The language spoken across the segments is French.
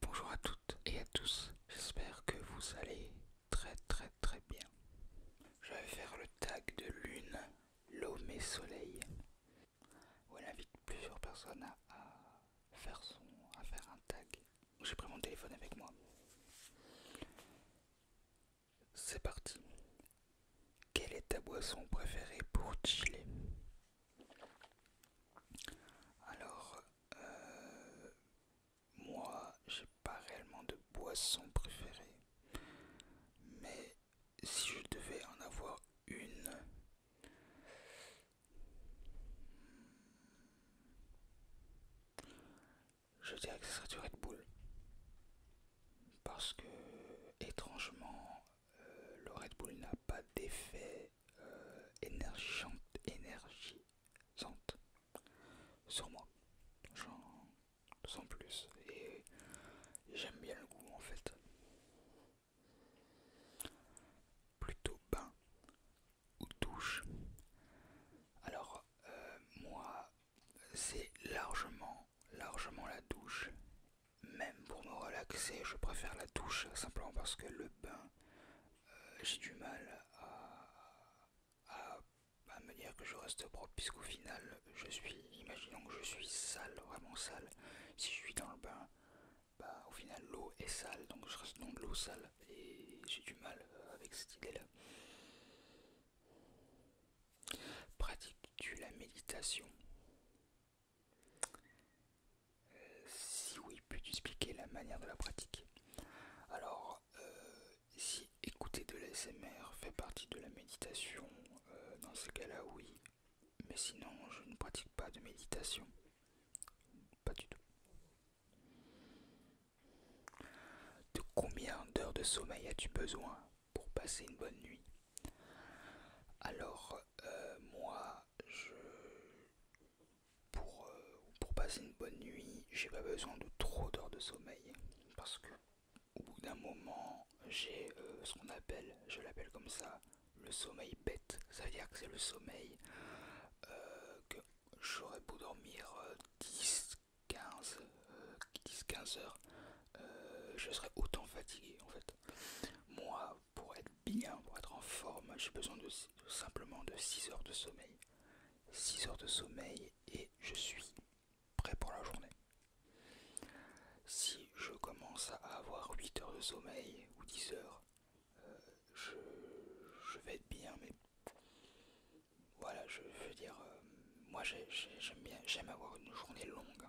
Bonjour à toutes et à tous, j'espère que vous allez très très très bien. Je vais faire le tag de lune, l'eau, et soleil, où invite plusieurs personnes à, faire, à faire un tag. J'ai pris mon téléphone avec moi. C'est parti. Quelle est ta boisson préférée pour chiller alors, euh, moi, j'ai pas réellement de boisson préférée, mais si je devais en avoir une, je dirais que ce serait du Red Bull, parce que étrangement, euh, le Red Bull n'a pas d'effet euh, énergisante sur moi. J'en sens plus et j'aime bien le goût en fait. Plutôt bain ou douche. Alors euh, moi c'est largement largement la douche même pour me relaxer, je préfère la douche simplement parce que le bain, euh, j'ai du mal à, me dire que je reste propre, puisqu'au final, je suis, imaginons que je suis sale, vraiment sale, si je suis dans le bain, bah, au final l'eau est sale, donc je reste dans de l'eau sale, et j'ai du mal avec cette idée-là. Pratique tu la méditation si oui, peux-tu expliquer la manière de la pratique Alors, euh, si écouter de l'ASMR fait partie de la méditation, euh, dans ce cas-là, oui. Mais sinon, je ne pratique pas de méditation. Pas du tout. De combien d'heures de sommeil as-tu besoin pour passer une bonne nuit Alors, euh, moi, pour, euh, pour passer une bonne nuit, j'ai pas besoin de trop d'heures de sommeil parce que au bout d'un moment, j'ai euh, ce qu'on appelle, je l'appelle comme ça, le sommeil bête. Ça veut dire que c'est le sommeil euh, que j'aurais beau dormir 10, 15, 15 heures, je serais autant fatigué en fait. Moi, pour être bien, pour être en forme, j'ai besoin de, simplement de 6 heures de sommeil. 6 heures de sommeil et je suis prêt pour la journée. Si je commence à avoir 8 heures de sommeil ou 10 heures, euh, je, vais être bien, mais voilà, je, veux dire, euh, moi j'aime avoir une journée longue.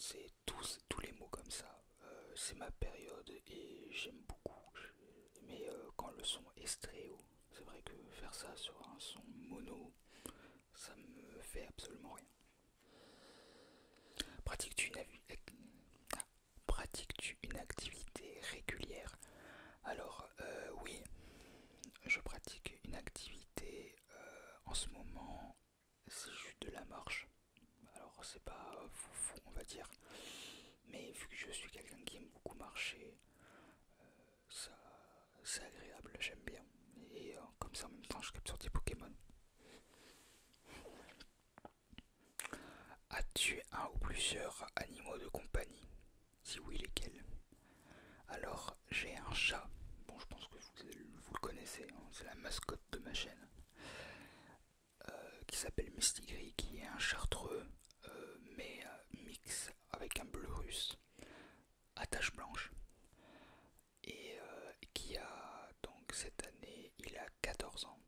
c'est tous, tous les mots comme ça. Euh, c'est ma période et j'aime beaucoup. Mais euh, quand le son est stéréo, c'est vrai que faire ça sur un son mono, ça me fait absolument rien. Pratique-tu une, vu Pratiques-tu une activité régulière Alors euh, oui, je pratique une activité euh, en ce moment, c'est juste de la marche. Alors c'est pas euh, fou, on va dire, mais vu que je suis quelqu'un qui aime beaucoup marcher, ça c'est agréable, j'aime bien. Et comme ça en même temps je capture des Pokémon. A tué un ou plusieurs animaux de compagnie Si oui, lesquels Alors, j'ai un chat. Bon, je pense que vous, le connaissez, hein. c'est la mascotte de ma chaîne. Euh, qui s'appelle Gris, qui est un chartreux, euh, mais euh, mix avec un bleu russe à taches blanches. Et qui a donc cette année, il a 14 ans.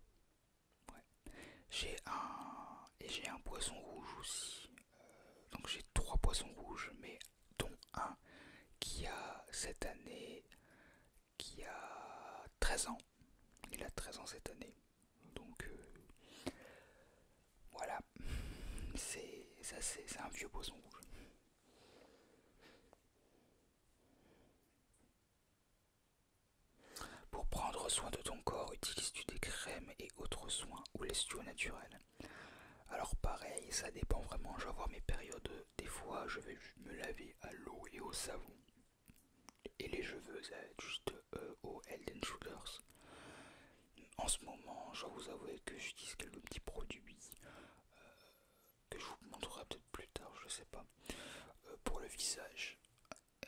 Ouais. J'ai un et j'ai un poisson rouge aussi. Euh, donc j'ai trois poissons rouges, mais dont un qui a cette année qui a 13 ans. Il a 13 ans cette année. Donc euh, voilà. C'est ça c'est un vieux poisson rouge. Pour prendre soin de ton corps, utilises-tu des crèmes et autres soins ou laisses-tu au naturel Alors pareil, ça dépend vraiment. Je vais avoir mes périodes. Des fois, je vais me laver à l'eau et au savon. Et les cheveux, ça va être juste euh, au Elden En ce moment, je vous avouer que j'utilise quelques petits produits. Euh, que je vous montrerai peut-être plus tard, je sais pas. Euh, pour le visage,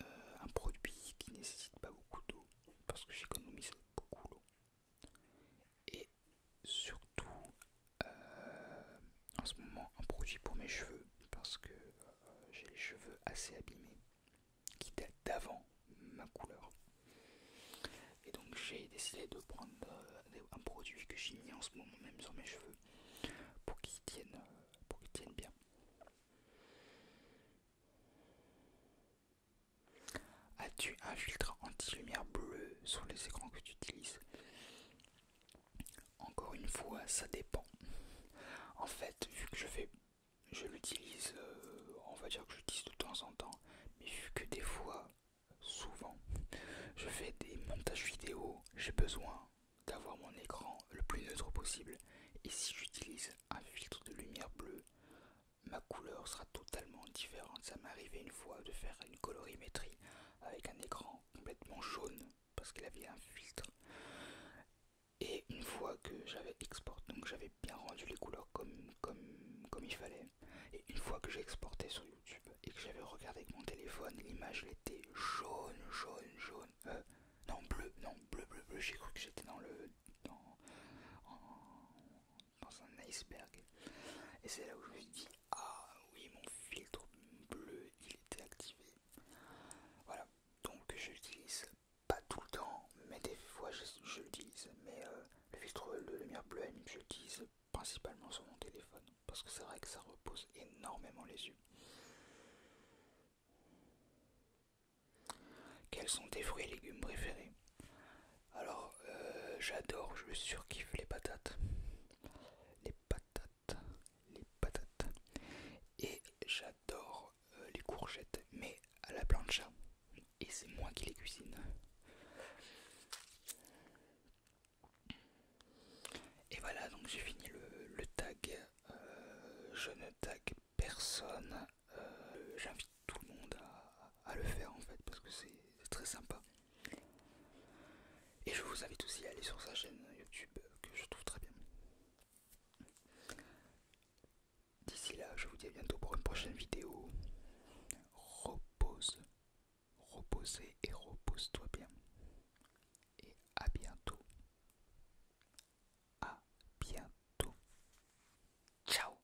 euh, un produit qui nécessite pas beaucoup d'eau parce que j'économise beaucoup d'eau, Et surtout, euh, en ce moment, un produit pour mes cheveux parce que j'ai les cheveux assez abîmés qui datent d'avant ma couleur. Et donc j'ai décidé de prendre un produit que j'ai mis en ce moment même sur mes cheveux pour qu'ils tiennent pour qu'ils tiennent bien. As-tu un filtre anti-lumière bleue sur les écrans que tu utilises Encore une fois, ça dépend. En fait, vu que je fais, je l'utilise, euh, on va dire que je l'utilise de temps en temps, mais vu que des fois, souvent, je fais des montages vidéo, j'ai besoin d'avoir mon écran le plus neutre possible et si j'utilise un filtre de lumière bleue, ma couleur sera totalement différente. Ça m'est arrivé une fois de faire une colorimétrie avec un écran complètement jaune parce qu'il avait un filtre. Et une fois que j'avais exporté, donc j'avais bien rendu les couleurs comme, comme, comme il fallait, et une fois que j'ai exporté sur YouTube, et que j'avais regardé avec mon téléphone, l'image était jaune, jaune, jaune. Euh, non, bleu, non, bleu, bleu, bleu. J'ai cru que j'étais dans le. Dans, un iceberg. Et c'est là où je me suis dit, ah oui, mon filtre bleu, il était activé. Voilà, donc je l'utilise pas tout le temps, mais des fois je, l'utilise. Mais euh, le filtre de lumière bleue, je l'utilise principalement sur mon téléphone parce que c'est vrai que ça repose énormément les yeux. Quels sont tes fruits et légumes préférés Alors, euh, j'adore, je surkiffe les patates. Les patates, les patates. Et j'adore euh, les courgettes, mais à la plancha. Et c'est moi qui les cuisine. Et voilà, donc j'ai fini le, tag. Euh, je ne tag personne. Euh, j'invite tout le monde à, le faire en fait parce que c'est très sympa. Et je vous invite aussi à aller sur sa chaîne YouTube que je trouve très bien. D'ici là, je vous dis à bientôt pour une prochaine vidéo. Repose. Reposez et repose-toi bien. Et à bientôt. À bientôt. Ciao.